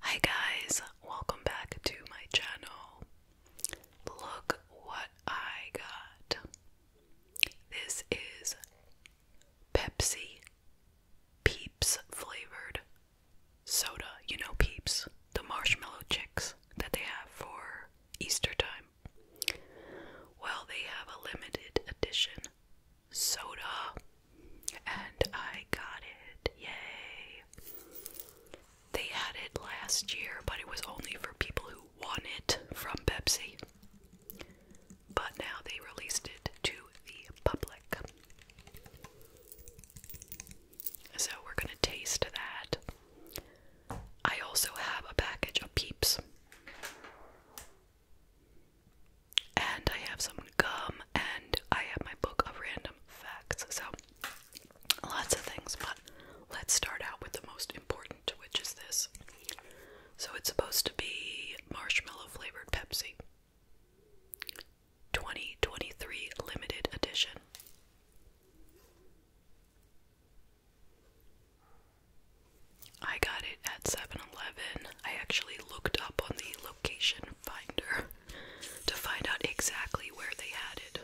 Hi guys, welcome back to my channel. Look what I got. This is Pepsi Peeps flavored soda. You know Peeps, the marshmallow chicks that they have for Easter time. Well, they have a limited edition soda and I got it. Yay! They had it last year, but it was only for people who won it from Pepsi. But now they released it to the public. So we're gonna taste that. I also have a package of peeps and I have some gum, and I have my book of random facts. So, lots of things, but let's start out with the most important, which is this. So, it's supposed to be marshmallow flavored Pepsi. 2023 limited edition. I got it at Seven Eleven. I actually looked up on the location finder to find out exactly where they had it.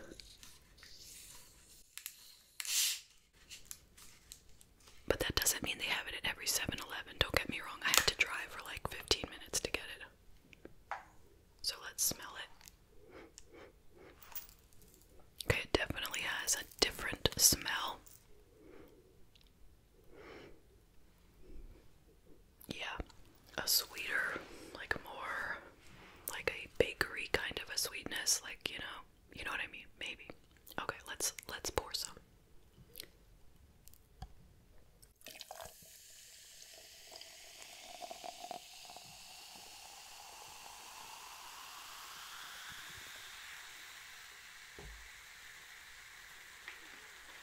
But that doesn't mean they have it at every 7 Eleven. Don't get me wrong, I had to drive for like 15 minutes to get it. So let's smell it. Okay, it definitely has a different smell yeah, a sweeter, like more like a bakery kind of a sweetness, like you know, you know what I mean? Maybe. Okay, let's let's pour some.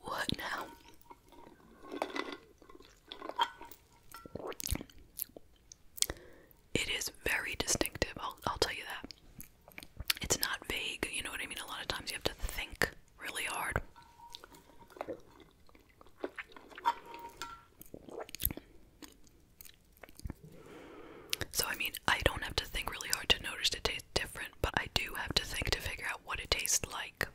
What now? It is very distinctive, I'll, I'll tell you that. It's not vague, you know what I mean? A lot of times you have to think really hard. So, I mean, I don't have to think really hard to notice it tastes different, but I do have to think to figure out what it tastes like.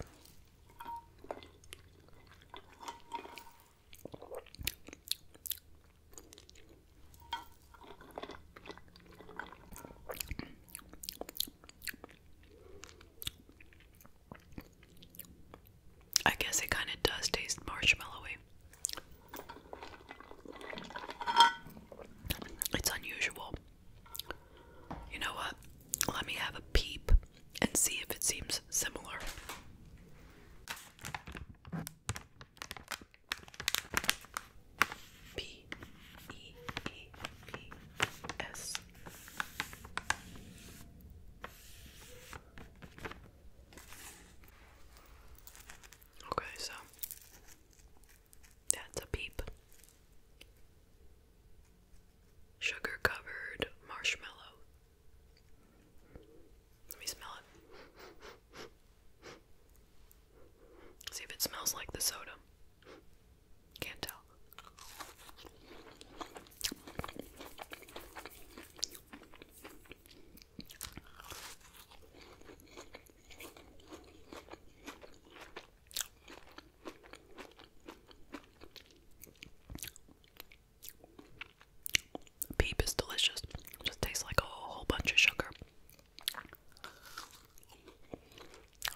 I guess it kind of does taste marshmallowy. It's unusual. You know what? Let me have a peep and see if it seems similar. P E E P S Okay, so that's a peep. Sugar covered marshmallow. Let me smell it. See if it smells like the soda. Can't tell. Peep is delicious. just tastes like a whole bunch of sugar.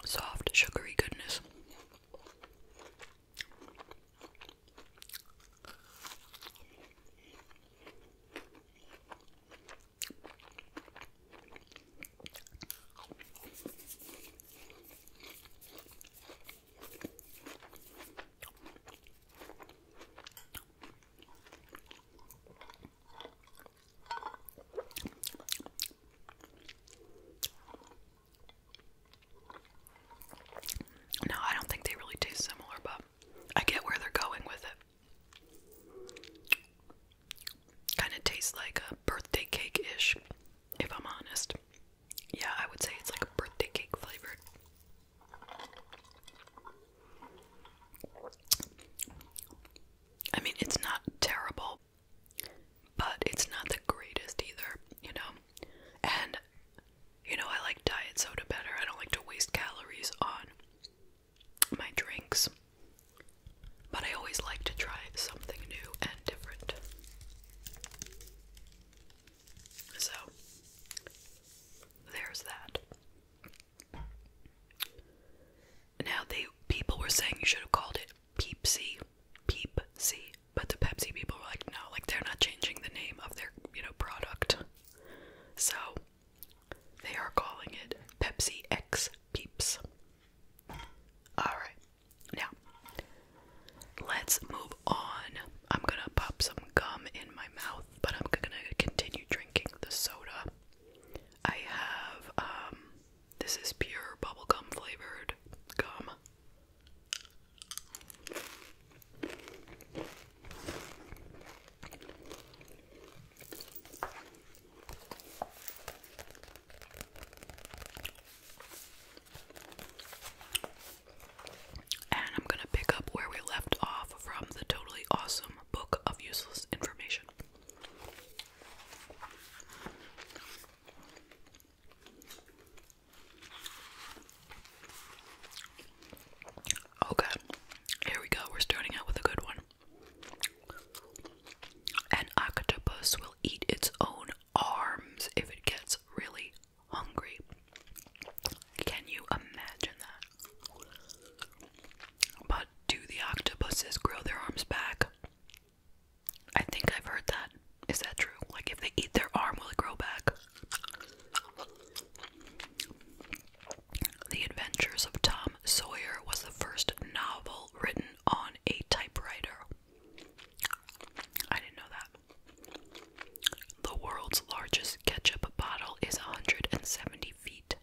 Soft, sugary goodness. No, I don't think they really taste similar, but I get where they're going with it. Kind of tastes like a birthday cake ish, if I'm honest. Yeah, I would say it's like a birthday cake flavored. I mean, it's not terrible, but it's not the greatest either, you know? And you know, I like diet soda better. I don't like to waste calories on my drinks. But I always like to try something new and different. So, there's that. Now, they people were saying you should have called it Peepsy, Peepsy, but the Pepsi people were like, no, like they're not changing the name of their, you know, product. So they are calling it Pepsi X Peeps. Alright, now let's move on. I'm gonna pop some gum in my mouth, but I'm gonna continue drinking the soda. I have, um, this is pure bubble gum flavored gum. And I'm going to pick up where we left off from the totally awesome book of useless information. Okay, here we go. We're starting out with a good one. An octopus will eat its own arms if it gets really hungry. Can you imagine that? But do the octopuses grow their arms back? I think I've heard that. Is that true? Like, if they eat their arm, will it grow back? The Adventures of Tom Sawyer was the first novel written on a typewriter. I didn't know that. The world's largest ketchup bottle is 170 feet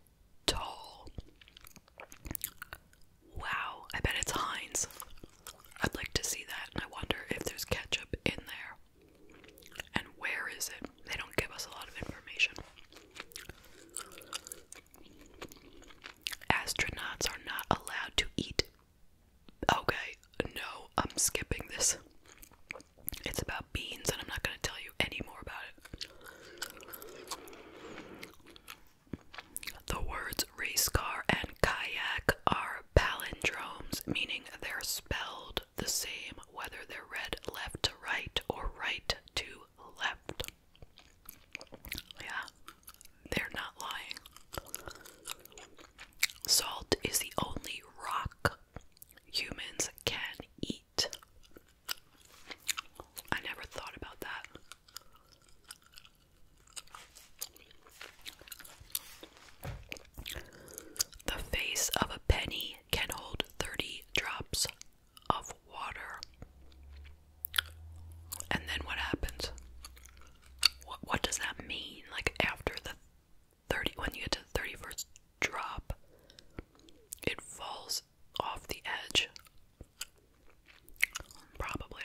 tall. Wow, I bet it's Heinz. I'd like to see that, I wonder if there's ketchup in there. And where is it? They don't give us a lot of information. Astronauts are not allowed to eat. Okay, no, I'm skipping this. It's about beans, and I'm not going to tell you any more about it. The words race car and kayak are palindromes, meaning they're spelled the same whether they're read left to right or right to left. Yeah, they're not lying. Salt is the only rock humans can eat. I never thought about that. The face of a penny can hold 30 drops of water. And then what happens? What, does that mean? Like after the 30, when you get to the 31st drop, it falls off the edge. Probably.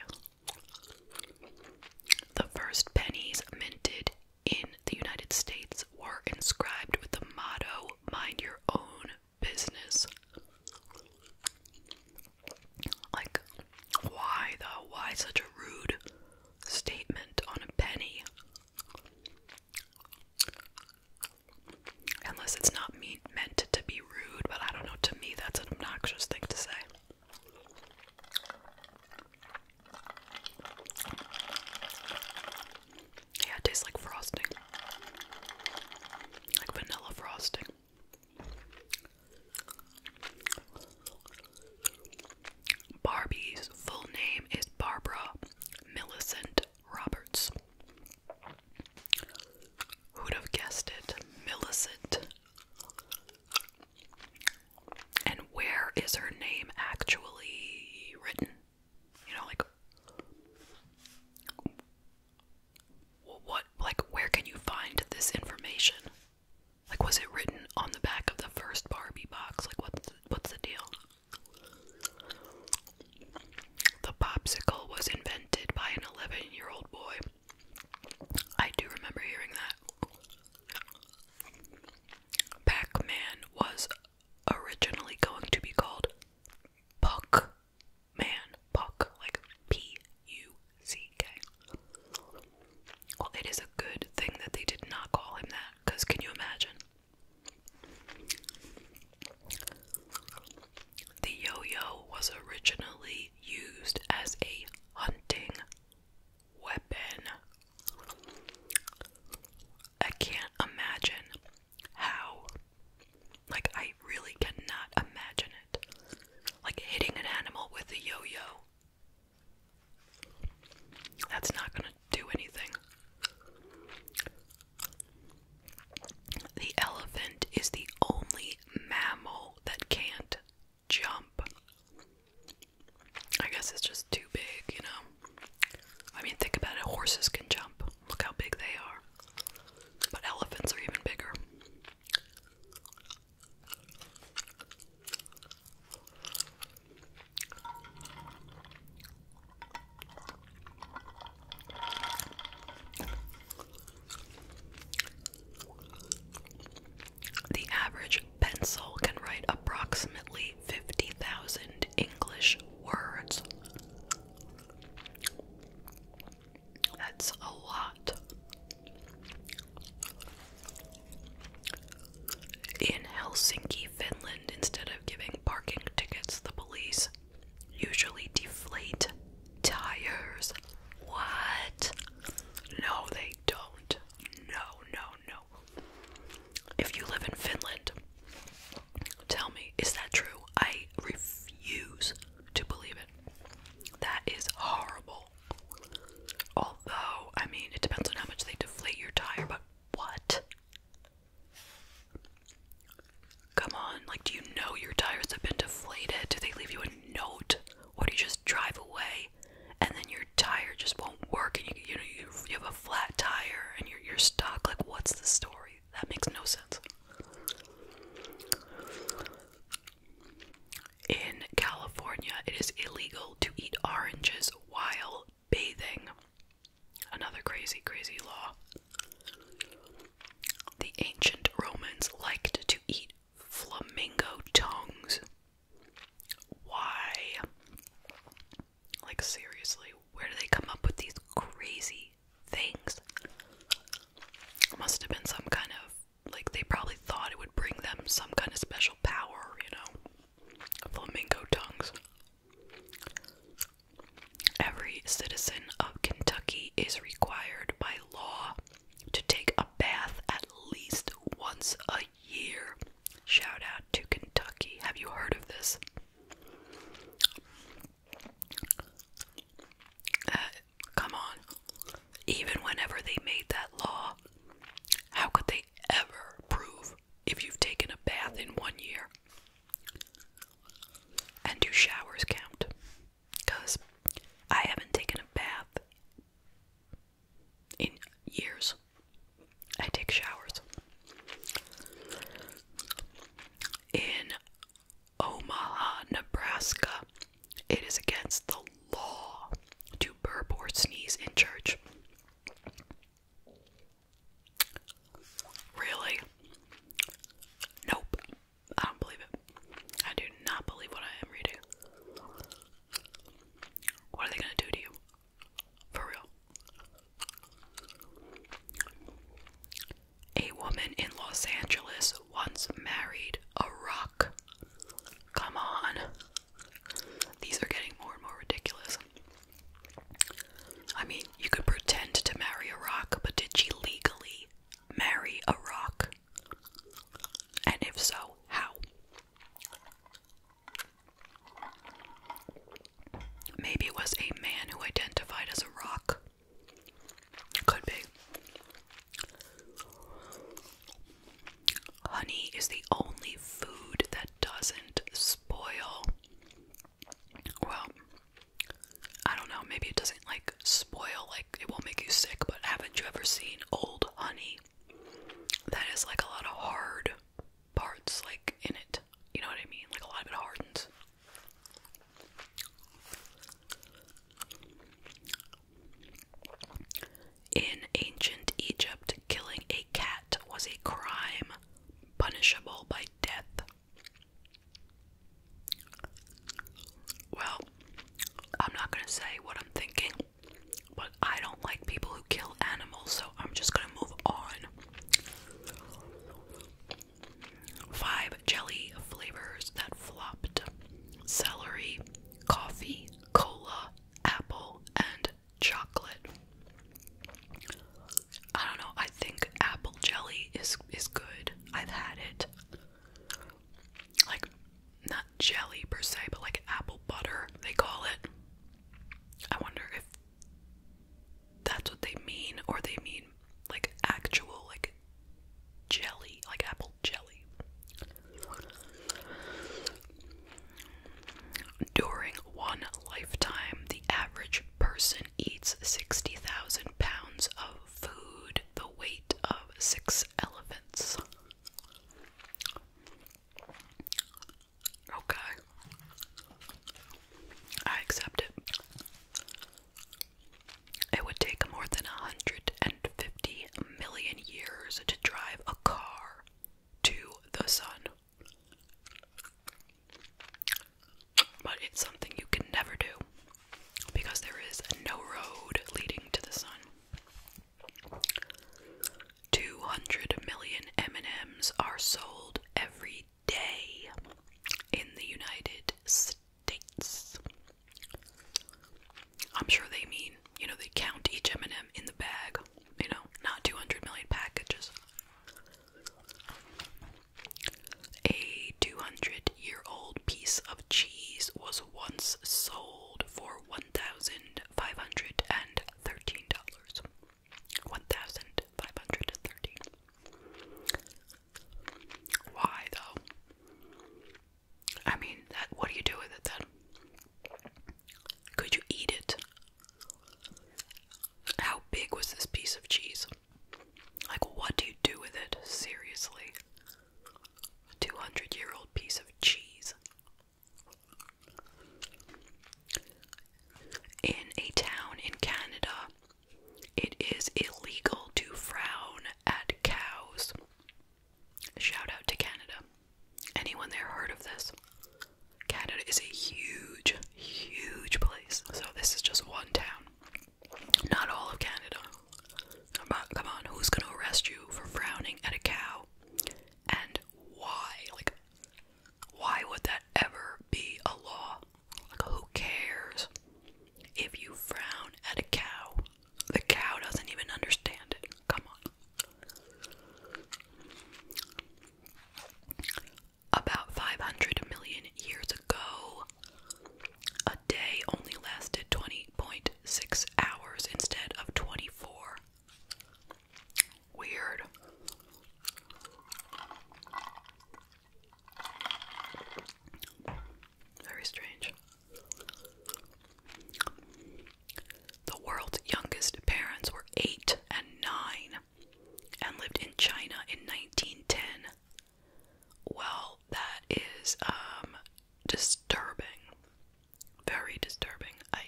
The first pennies minted in the United States were inscribed with the motto mind your own business. Like, why though? Why such a rude statement on a penny? Unless it's not meant to be rude, but I don't know, to me that's an obnoxious thing to say. Yeah, it tastes like frosting. Like vanilla frosting. Barbie's full name is Barbara Millicent Roberts. Who'd have guessed it? Millicent. And where is her name actually written? You know, like what like where can you find this information? Like was it written on the back of the first Barbie box? Like what's what's the deal? The popsicle was invented by an 11-year-old boy. I do remember hearing that. Pac-Man was originally going to be called Puck Man. Puck, like P U C K. Well, it is a good thing that they did not call him that, because can you imagine? The yo yo was originally used as a hunting weapon. I can't imagine how? Like, I really cannot imagine it. Like, hitting an animal with a yo yo. That's not gonna do anything. The elephant is the only mammal that can't jump. I guess it's just too big, you know? I mean, think about it horses can jump. Look how big they are. But elephants are even bigger. The average pencil can write approximately 50,000 English words. That's a lot. In Helsinki, Finland, instead of giving parking tickets, the police usually deflate tires. What? No, they don't. No, no, no. If you live in Finland, tell me, is that true? I refuse to believe it. That is horrible. Although, I mean, it depends on how much they deflate your tire, but what? Come on, like, do you know your tires have been deflated? Do they leave you a note? Or do you just drive away and then your tire just won't work and you, you know, you, have a flat tire and you're stuck? Like, what's the story? That makes no sense. In California, it is illegal to eat oranges while bathing. Another crazy, crazy law. The ancient Romans liked to eat flamingo tongues. Why? Like, seriously, where do they come up with these crazy things? Must have been some kind of, like, they probably thought it would bring them some kind of special power, you know? Flamingo tongues. Every citizen of Kentucky is required by law to take a bath at least once a year. Shout out to Kentucky. Have you heard of this? come on. Even whenever they made that law, how could they ever prove if you've taken a bath in one year? And do showers count? Because I haven't taken a bath in years. I take showers. In Omaha, Nebraska, it is against the law to burp or sneeze in church. Really? Nope. I don't believe it. I do not believe what I am reading. What are they gonna do to you? For real. A woman in Los Angeles once married a rock. Come on. These are getting more and more ridiculous. I mean, you could pretend to marry a rock, but did she legally marry a rock? And if so, how? Maybe it was a man who identified as a rock. Could be. Honey is the only food that doesn't spoil. Well, I don't know, maybe it doesn't like spoil, like it won't make you sick, but haven't you ever seen old honey? That is like a lot of hard parts like in it. You know what I mean? Like a lot of it hardens. In ancient Egypt, killing a cat was a crime punishable by death. Well, I'm not going to say what I'm thinking, but I don't like people who kill animals, so I'm just going to move on. Five jelly flavors that flopped celery, coffee, cola, apple, and chocolate. I don't know, I think apple jelly is is good. I've had it. Like not jelly per se, but like apple butter, they call it. I wonder if that's what they mean, or they mean like actual, like jelly, like apple jelly. During one lifetime, the average person eats 60,000 pounds of food, the weight of six elephants. Okay. I accept it. It would take more than 150 million years to drive a car to the sun. But it's something you can never do because there is no road leading to the sun. 200 million M&Ms are sold every day in the United States. I'm sure they mean, you know, they count each M&M in the bag, you know, not 200 million packages. A 200-year-old piece of cheese was once sold for $1,513. 1513 why though? I mean, that what do you do with it then? Could you eat it? How big was this piece of cheese? Like, what do you do with it? Seriously. 200 year old piece of cheese. In a town in Canada it is illegal to frown at cows. Shout out to Canada. Anyone there heard of this? Canada is a huge, huge place. So this is just one town. Not all of Canada. Come on, Who's going to arrest you for frowning at a cow? And why? Like, why would that ever be a law? who cares if you frown at a cow? The cow doesn't even understand it. Come on. About 500 million years ago, a day only lasted 20.6 hours instead of 24. Weird. Very strange. The world's youngest parents were eight and nine and lived in China in 1910. Well, that is um, disturbing. Very disturbing. I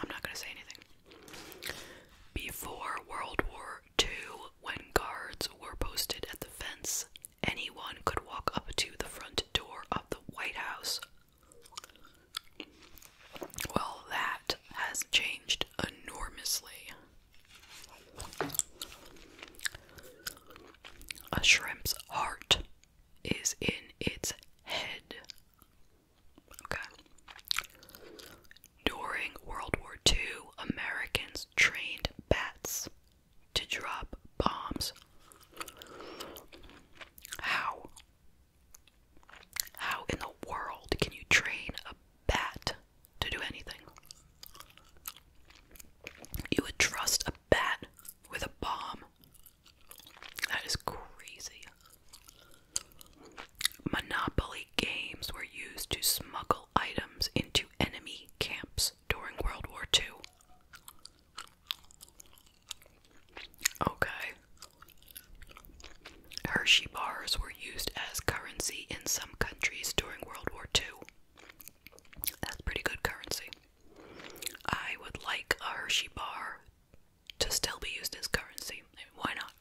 I'm not going to say anything. Before World War 2, when guards were posted at the fence, anyone could walk up to the front door of the White House. Well, that has changed enormously. A shrimp's heart is in its head. Okay. During World War II, Americans trained bats to drop bombs. How? How in the world can you train a bat to do anything? You would trust a bat with a bomb. That is crazy. Monopoly games were used to smuggle items into enemy camps during World War II. Okay. Hershey bars were used as currency in some countries during World War II. That's pretty good currency. I would like a Hershey bar to still be used as currency why not?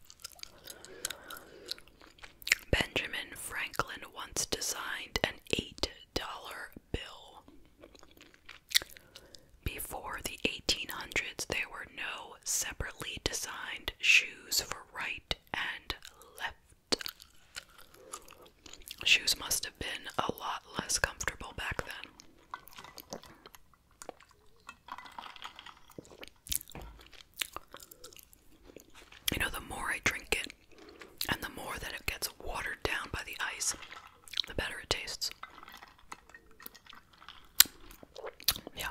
Benjamin Franklin once designed an $8 bill. Before the 1800s, there were no separately designed shoes for right and left. Shoes must have been a lot less comfortable back then. You know, the more I drink it, and the more that it gets watered down by the ice, the better it tastes. Yeah.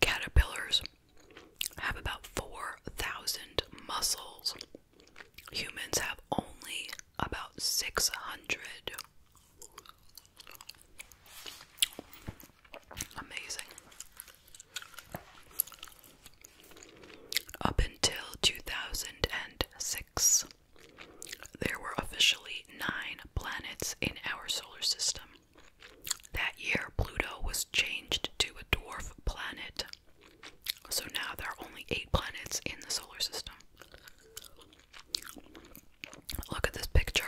Caterpillars have about 4,000 muscles. Humans have only about 600. Amazing. Up until 2006, there were officially nine planets in our solar system. That year, Pluto was changed to a dwarf planet. So now there are only eight planets in the solar system. Look at this picture.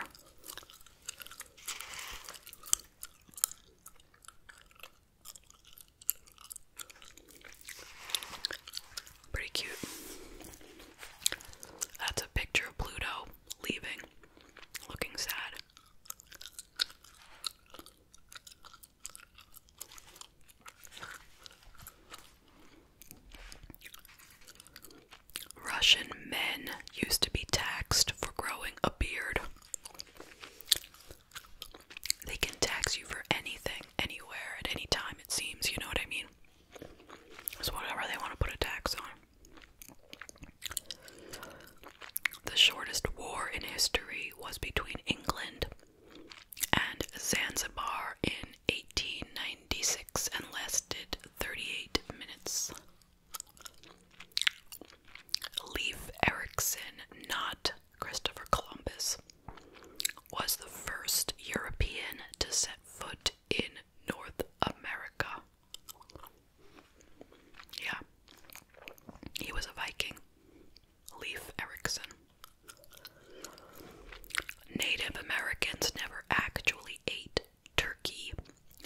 Pretty cute. That's a picture of Pluto leaving, looking sad. Russian men used to be taxed for growing a beard. They can tax you for anything, anywhere, at any time, it seems. You know what I mean? It's whatever they want to put a tax on. The shortest war in history was between England and Zanzibar in 1896 and lasted 38 minutes. Leif Erikson, not Christopher Columbus, was the first European to set foot in North America. Yeah, he was a Viking. Leif Erikson. Native Americans never actually ate turkey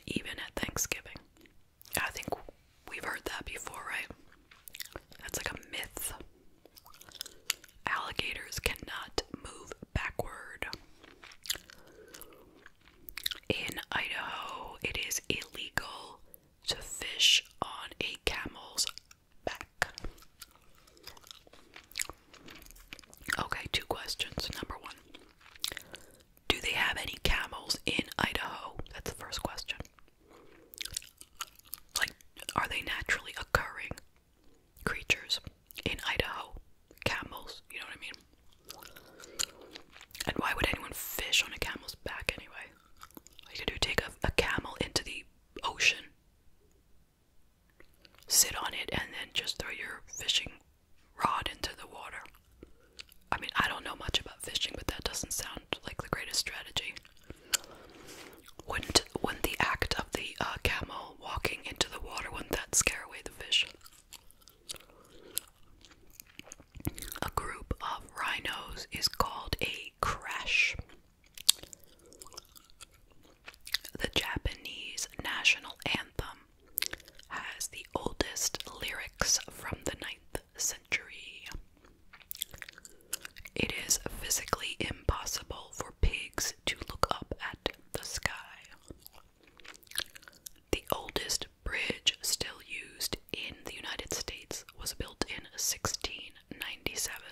even at Thanksgiving. I think we've heard that before, right? That's like a myth. Alligators cannot move backward. In Idaho, it is illegal to fish on a camel's back. Okay, two questions. Number one Do they have any camels in Idaho? That's the first question. Like, are they naturally occurring creatures in Idaho? Camels, you know what I mean? And why would anyone fish on a camel's back anyway? you did you take a camel into the ocean? sit on it and then just throw your fishing rod into the water. I mean, I don't know much about fishing, but that doesn't sound like the greatest strategy. Wouldn't wouldn't the act of the uh, camel walking into the water wouldn't that scare away the fish? A group of rhinos is called a crash. The Japanese national anthem has the oldest lyrics from the 9th century. It is physically impossible for pigs to look up at the sky. The oldest bridge still used in the United States was built in 1697.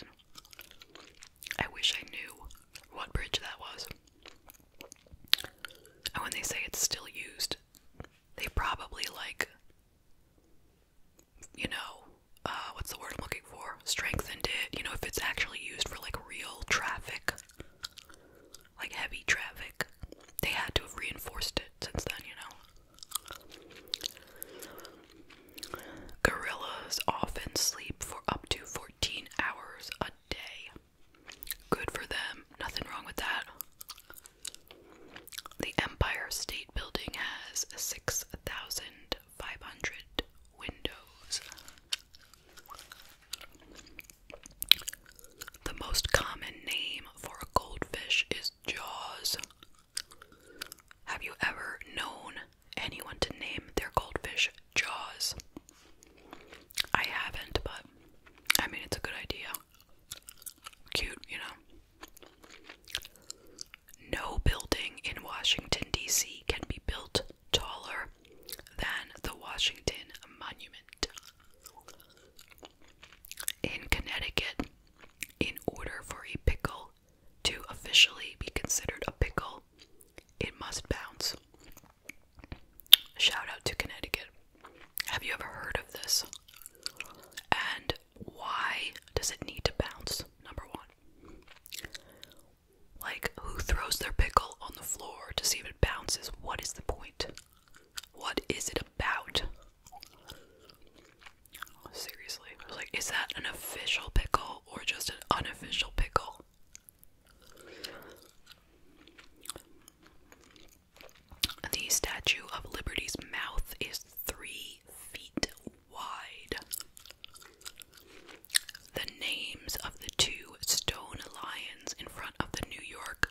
I wish I knew what bridge that was. And when they say it's still used, they probably like, you know, uh, what's the word I'm looking for? Strengthened it. You know, if it's actually used for like real traffic, like heavy traffic, they had to have reinforced it since then, you know. Gorillas often sleep for up to 14 hours a day. Good for them. Nothing wrong with that. The Empire State Building has 6,500 windows. The most common name for a goldfish is Jaws. Have you ever known anyone to name their goldfish Jaws? I haven't, but I mean, it's a good idea. Cute, you know. No building in Washington, D.C. can be built taller than the Washington Monument. In Connecticut, in order for a pickle to officially be considered a pickle, it must bounce. Shout out to Connecticut. Have you ever heard of this? And why does it need to bounce? Number one. Like, who throws their pickle on the floor to see if it bounces? What is the point? What is it about? Seriously. Like, is that an official pickle or just an unofficial pickle? The Statue of Liberty's mouth is three feet wide. The names of the two stone lions in front of the New York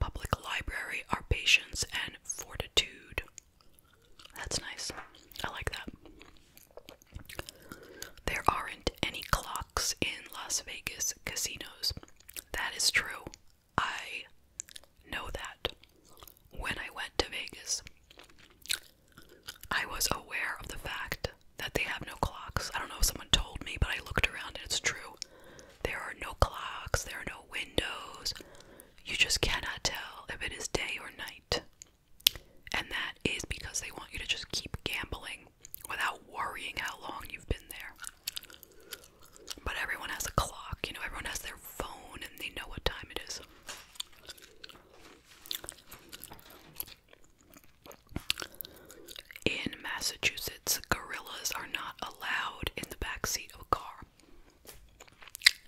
Public Library are Patience and Fortitude. That's nice. I like that. There aren't any clocks in Las Vegas casinos. That is true. I know that. When I went to Vegas, I was aware of the fact that they have no clocks. I don't know if someone told me, but I looked around and it's true. There are no clocks, there are no windows. You just cannot tell if it is day or night. And that is because they want you to just keep gambling without worrying how long you've been there. But everyone has a clock, you know, everyone has their phone and they know what time it is. In Massachusetts, gorillas are not allowed in the back seat of a car.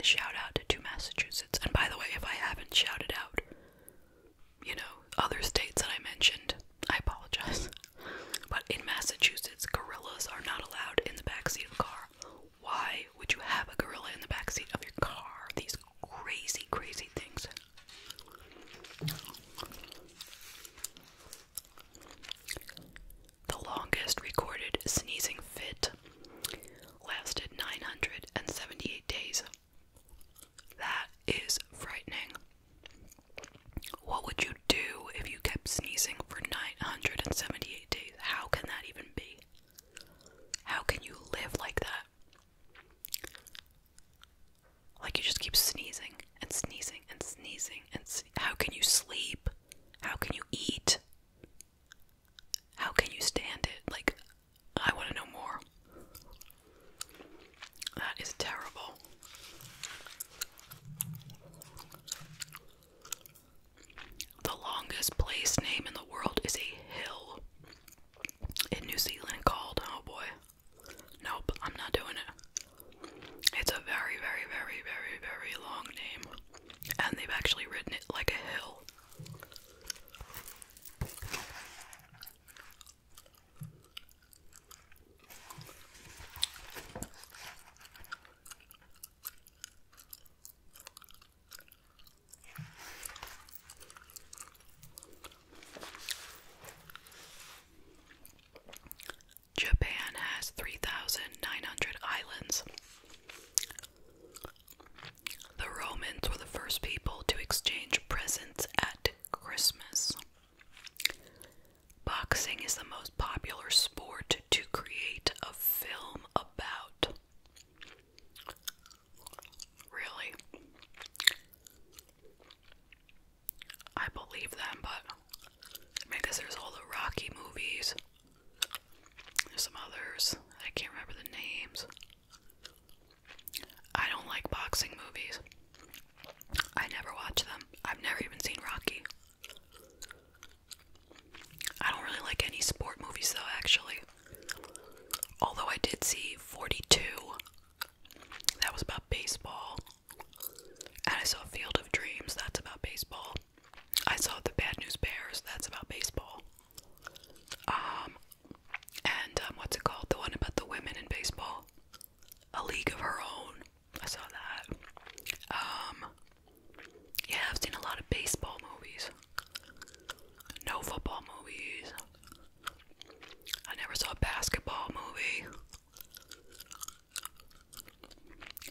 Shout out to Massachusetts. And by the way, if I haven't shouted out you know, other states that I mentioned. I apologize. But in Massachusetts, gorillas are not allowed in the backseat of a car. Why would you have a gorilla in the backseat of your car? These crazy, crazy things. The longest recorded sneezing fit lasted 978 days. That is frightening. What would you do if you kept sneezing for 978 days? How can that even be? How can you live like that? Like you just keep sneezing and sneezing and sneezing and how can you sleep? How can you eat? How can you stand it? Like I want to know more. That is terrible. The longest place name in the world is a hill in New Zealand called, oh boy. Nope, I'm not doing it. It's a very, very, very, very, very long name. And they've actually written it like a hill. Japan has 3,900 islands. The Romans were the first people to exchange presents at Christmas. Boxing is the most popular sport to create a film about. Really? I believe them, but I guess there's all the Rocky movies. There's some others. I can't remember the names. I don't like boxing movies. I never watch them. I've never even seen Rocky. I don't really like any sport movies though, actually. Although I did see 42. That was about baseball. And I saw Field of Dreams. That's about baseball. I saw The Bad News Bears. That's about baseball. Um, and um, what's it called? The one about the women in baseball. A League of Her Own. I saw that. Um, yeah, I've seen a lot of baseball movies. No football movies. I never saw a basketball movie.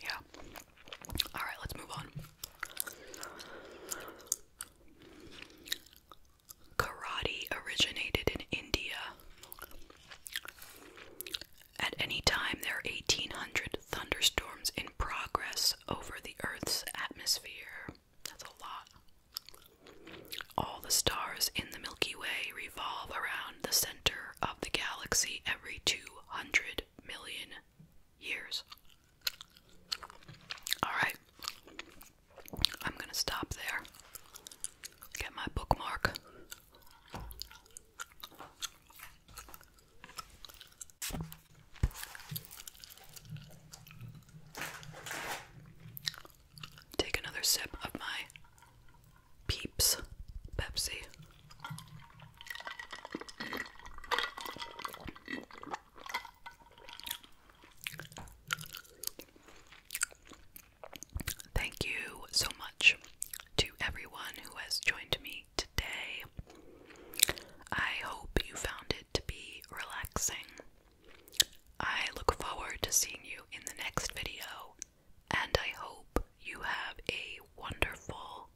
Yeah. Alright, let's move on. Karate originated in India. At any time, there are 1,800 thunderstorms in progress over the Earth's atmosphere. That's a lot. All the stars in the Milky Way revolve around the center of the galaxy every 200 million years. Alright, I'm gonna stop there. Get my bookmark. Take another sip of my Peeps Pepsi. Thank you so much to everyone who has joined me today. I hope you found it to be relaxing. I look forward to seeing you in the next video, and I hope you have a wonderful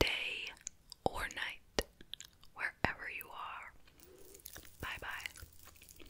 day or night wherever you are. Bye bye.